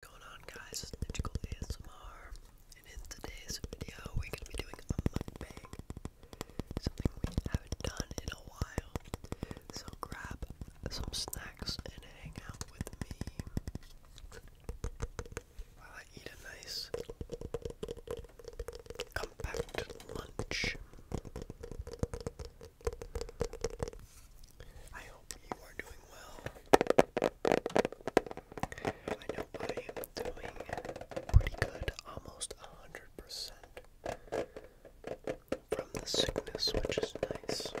going on guys, it's Magical ASMR and in today's video we're going to be doing a mukbang something we haven't done in a while so grab some snacks and hang out with me while I eat a nice compact lunch I hope you are doing well. I know I am doing pretty good, almost 100% from the sickness, which is nice.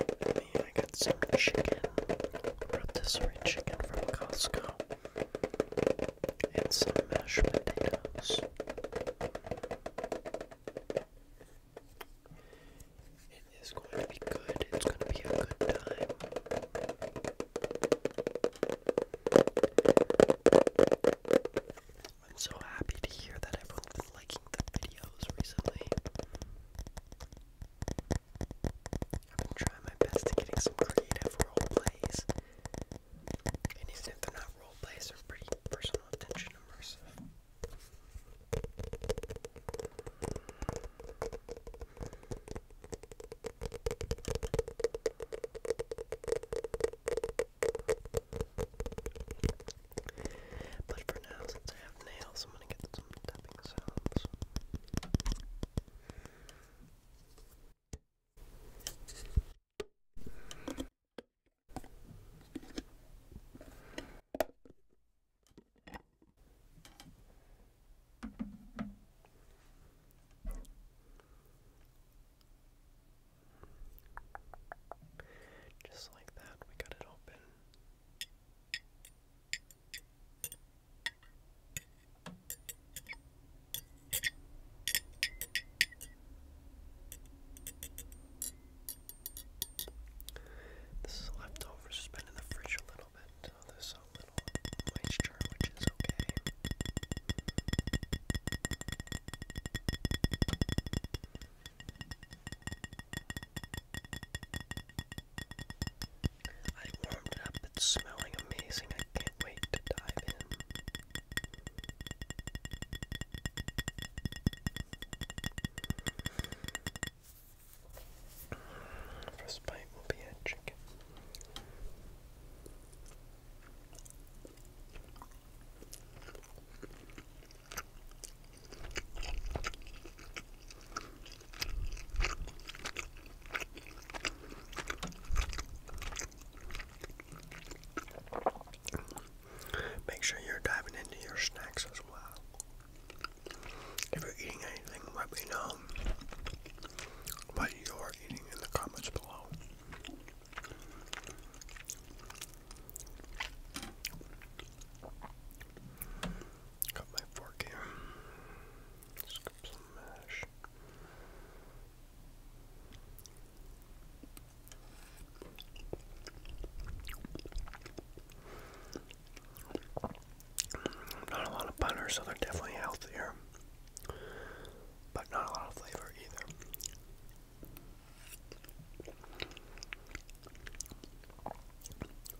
I mean, I got some chicken, rotisserie chicken from Costco and some mashed potatoes. It is going to be good. It's going to be a good time. I'm so happy to hear that everyone liking the videos recently. I've been trying my best to getting some creative role plays and even if they're not role plays, they're pretty personal attention immersive. But for now, since I have nails, I'm gonna get some tapping sounds. Just like that, we got it open. This is left over, just been in the fridge a little bit. Oh, there's a little moisture, which is okay. I warmed it up. It's smelling amazing. I can't wait to dive in. First bite will be a chicken. Make sure you're diving into your snacks as well. If you're eating anything, let me know what you're eating in the comments below. Got my fork here. Scoop some mash. Not a lot of butter, so they're definitely healthier, but not a lot of flavor either.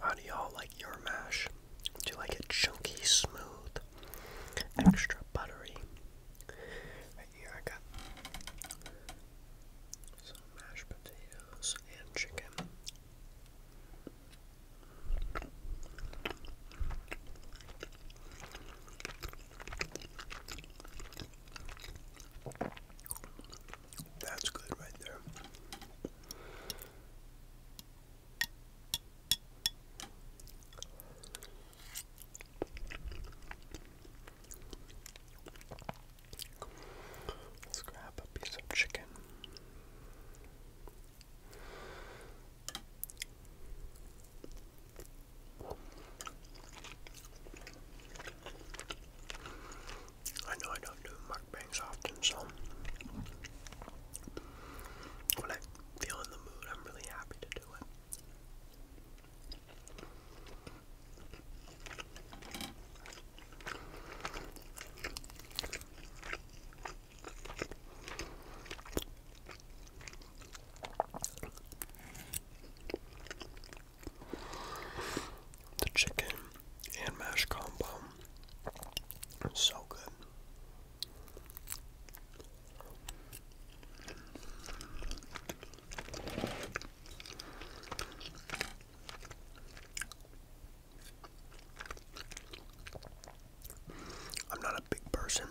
How do y'all like your mash? Do you like it chunky, smooth, extra buttery? here I got some mashed potatoes and chicken. That's good right there. Let's grab a piece of chicken. I know I don't do mukbangs often, so when I feel in the mood, I'm really happy to do it. The chicken and mashed combo. It's so good. I'm not a big person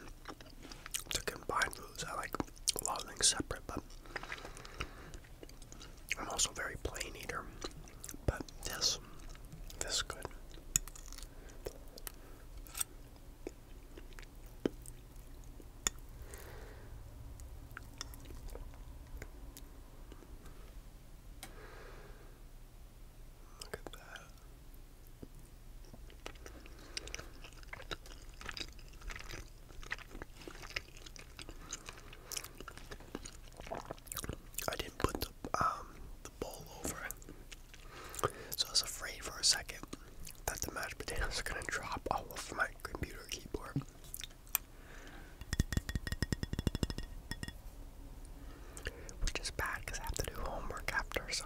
to combine foods. I like a lot of things separate, but I'm also very plain eater, but this, this is good. Look at that. I didn't put the um bowl over so I was afraid for a second that the mashed potatoes are gonna drop off my computer keyboard. Which is bad because I have to do homework after, so.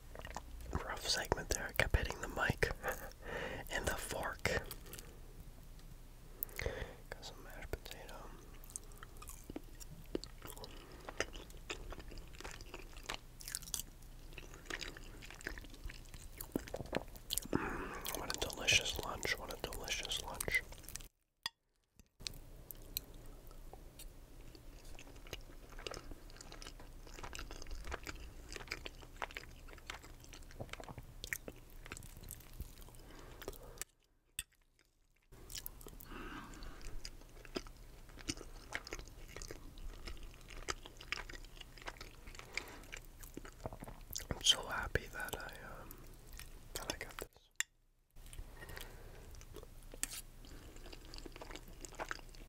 Rough segment there. I kept hitting the mic and the fork. Mm, what a delicious lunch. What a delicious lunch. I'm so happy that I um that I got this.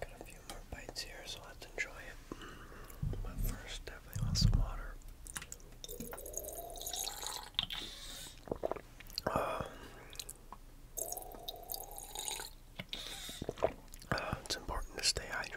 Got a few more bites here, so let's enjoy it. But first, definitely some water. Um, uh, it's important to stay hydrated.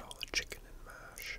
all the chicken and mash.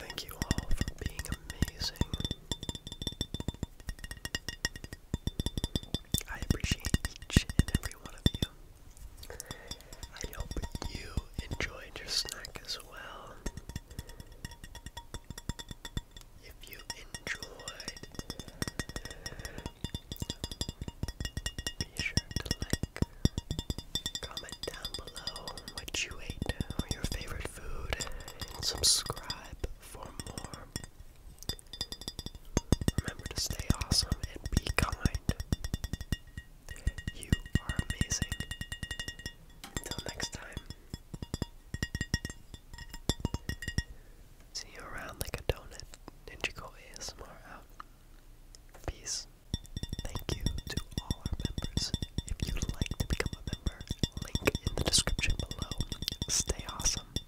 Thank you all for being amazing. I appreciate each and every one of you. I hope you enjoyed your snack as well. If you enjoyed, be sure to like, comment down below what you ate or your favorite food, and subscribe for more. Remember to stay awesome and be kind. You are amazing. Until next time. See you around like a donut. Ninjago ASMR out. Peace. Thank you to all our members. If you'd like to become a member, link in the description below. Stay awesome.